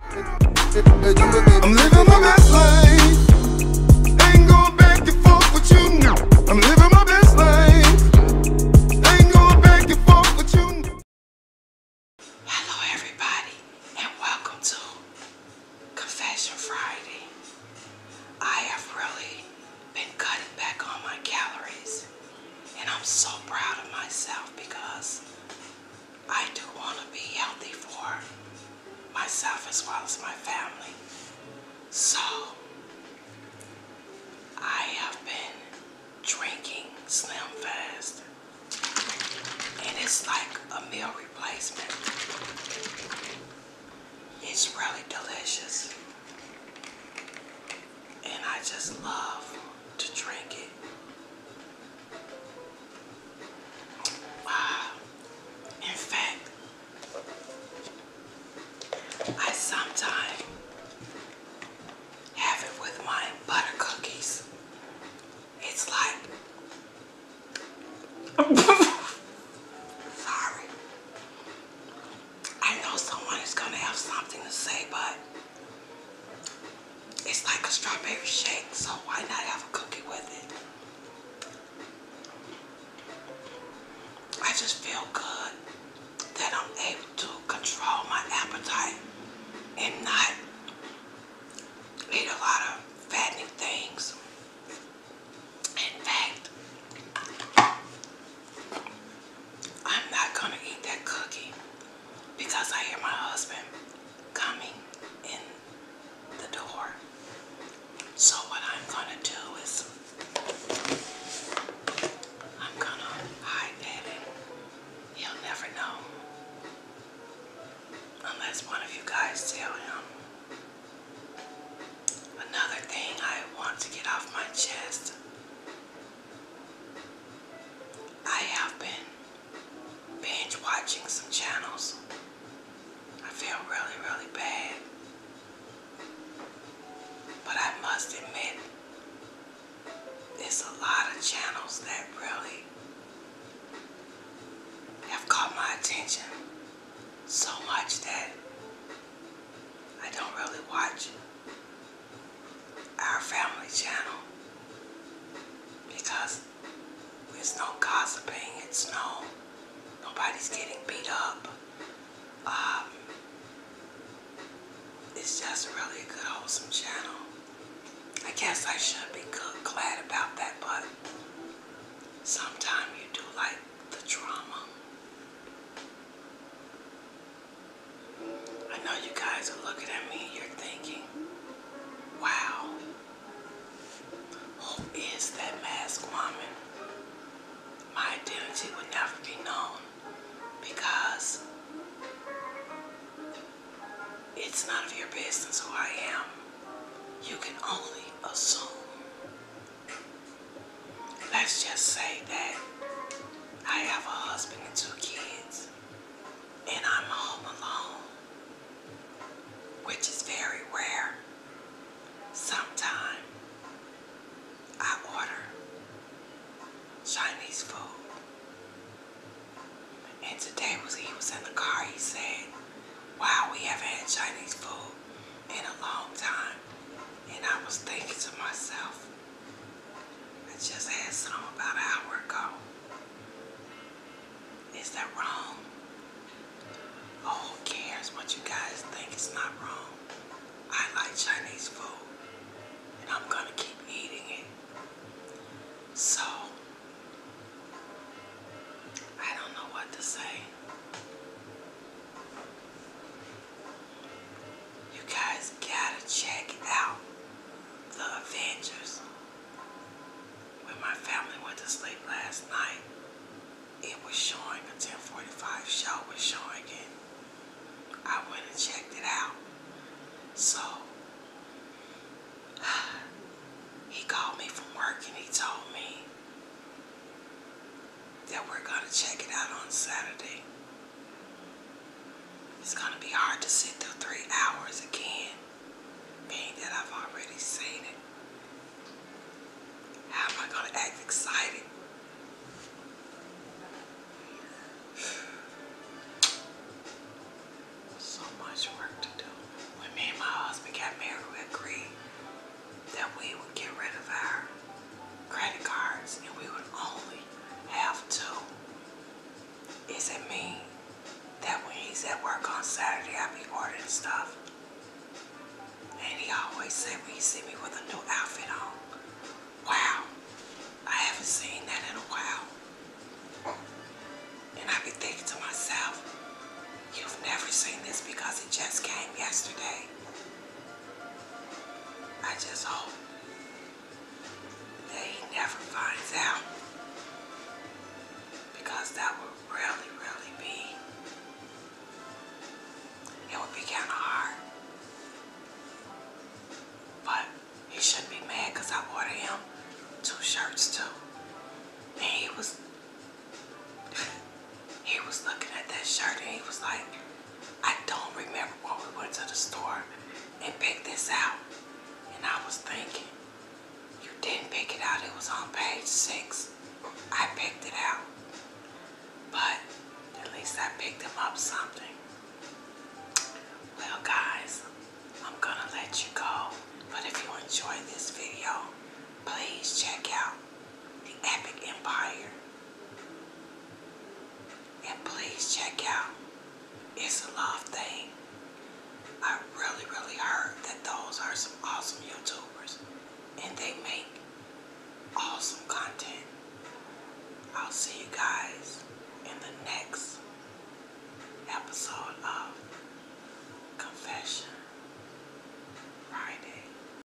I'm living my best life. Hello, everybody, and welcome to Confession Friday. I have really been cutting back on my calories, and I'm so proud of myself because I do want to be healthy for myself as well as my family. So I have been drinking Slim Fast and it's like a meal replacement. It's really delicious and I just love to drink it. Wow. In fact, I sometimes have it with my butter cookies. It's like, sorry. I know someone is going to have something to say, but it's like a strawberry shake, so why not have a cookie with it? I just feel good that I'm able to control my appetite and not eat a lot of fattening things. In fact, I'm not gonna eat that cookie because I hear my husband coming in the door. So what I'm gonna do is I'm gonna hide that he'll never know. Unless one of you guys tell him. Another thing I want to get off my chest I have been binge watching some channels. I feel really, really bad. But I must admit, there's a lot of channels that really have caught my attention so much that I don't really watch our family channel because there's no gossiping, it's no, nobody's getting beat up. Um, it's just really a good wholesome channel. I guess I should be glad about that, but sometimes you do like the drama. I know you guys are looking at me, you're thinking, wow, who is that masked woman? My identity would never be known because it's none of your business who I am. You can only assume. Let's just say that I have a husband and two kids, and I'm home alone, which is very rare. Sometime I order Chinese food. And today he was in the car, he said, Wow, we haven't had Chinese food in a long time. And I was thinking to myself, I just had some about an hour ago. Is that wrong? Oh, who cares what you guys think? It's not wrong. I like Chinese food, and I'm gonna keep eating it. So, I don't know what to say. You guys gotta check out The Avengers. When my family went to sleep last night, it was showing, the 1045 show was showing it. I went and checked it out. So, he called me from work and he told me that we're going to check it out on Saturday. It's gonna be hard to sit through three hours again, being that I've already seen it. How am I gonna act excited? So much work to do. When me and my husband got married, we agreed that we would get rid of our credit cards and we would only have to. Is it mean that when he's at work on Saturday, I be ordering stuff? And he always say when he see me with a new outfit on, wow, I haven't seen that in a while. And I be thinking to myself, you've never seen this because it just came yesterday. I just hope that he never finds out because that would really, really be, it would be kind of hard. But he shouldn't be mad because I ordered him two shirts too. And he was, he was looking at that shirt and he was like, I don't remember when we went to the store and picked this out. And I was thinking, you didn't pick it out. It was on page six. I picked it out. But at least I picked up something. Well, guys, I'm going to let you go. But if you enjoyed this video, please check out the Epic Empire and please check out It's a Love Thing. I really, really heard that those are some awesome YouTubers and they make awesome content. I'll see you guys in the next episode of Confession Friday.